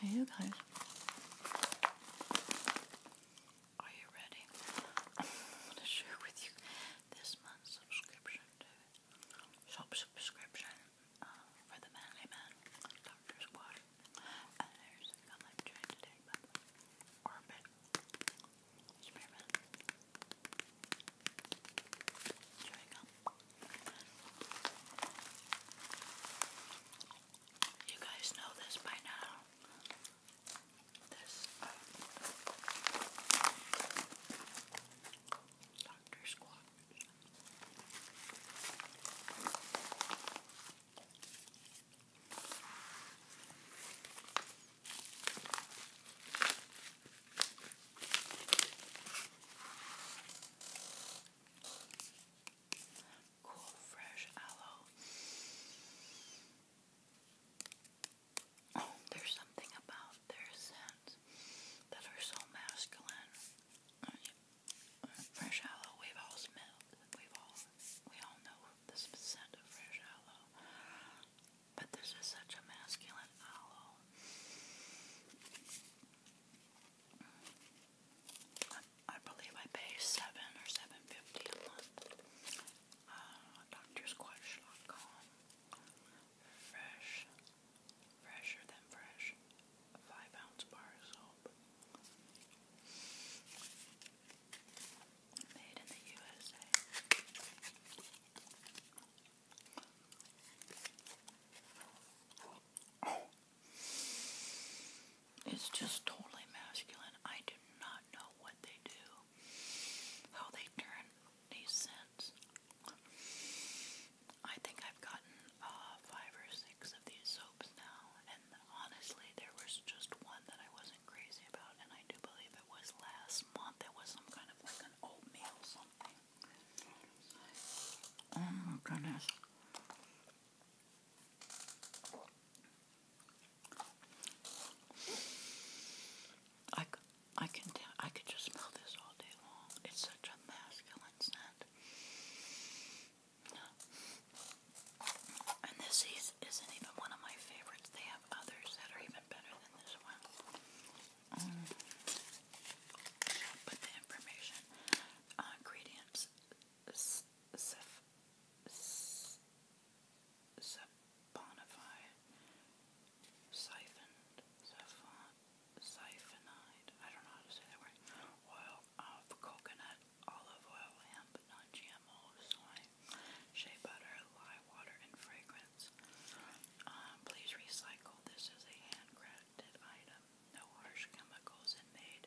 Hey, you guys. Are you ready? I'm going to share with you this month's subscription to shop subscription uh, for the Manly Man Doctor Squad. And there's a comment during today, but Orbit Spray You guys know this by now. This uh, Doctor Squad. Cool, fresh aloe. Oh, there's something about their scents that are so masculine. Fresh aloe, we've all smelled. We've all we all know the scent of fresh aloe. But this is such a masculine owl. I, believe I pay seven or seven fifty a month. Uh, Doctor Squatch.com. Fresh, fresher than fresh. five ounce bar of soap. Made in the USA. Oh. It's just totally masculine. I do not know what they do, how they turn these scents. I think I've gotten uh, five or six of these soaps now, and honestly, there was just one that I wasn't crazy about, and I do believe it was last month. There was some kind of like an oatmeal something. Oh my goodness. I, I can tell, I could just smell this all day long. It's such a masculine scent. And this is, isn't even one of my favorites. They have others that are even better than this um, put the information. ingredients. Uh, Saponified. Siphoned. Siphonide. I don't know how to say that word. Oil of coconut, olive oil, hemp, non-GMO soy, shea butter, lye water, and fragrance. Um, please recycle. This is a handcrafted item. No harsh chemicals and made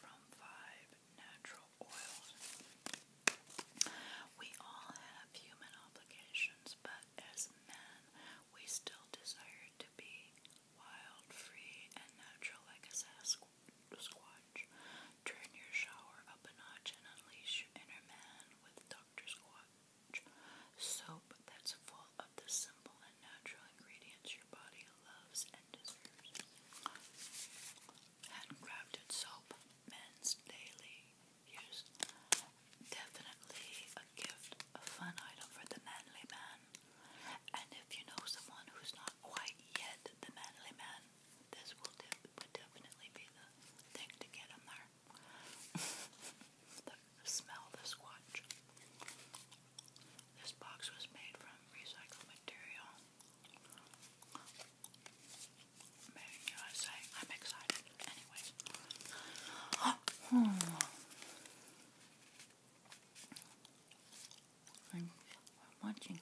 from five natural oils. We all have human obligations, but as men, we still desire to be wild, free, and natural like a sasquatch. Turn your shower up a notch and unleash your inner man with Dr. Squatch soap that's full of the simple and natural ingredients your body loves and deserves. Handcrafted soap, men's daily use. Definitely a gift, a fun item for the manly man. And if you know someone who's not quite yet the manly man, this will definitely be the thing to get them there. the smell the squatch. This box was made from recycled material. Made in USA. I'm excited. Anyways. I'm watching.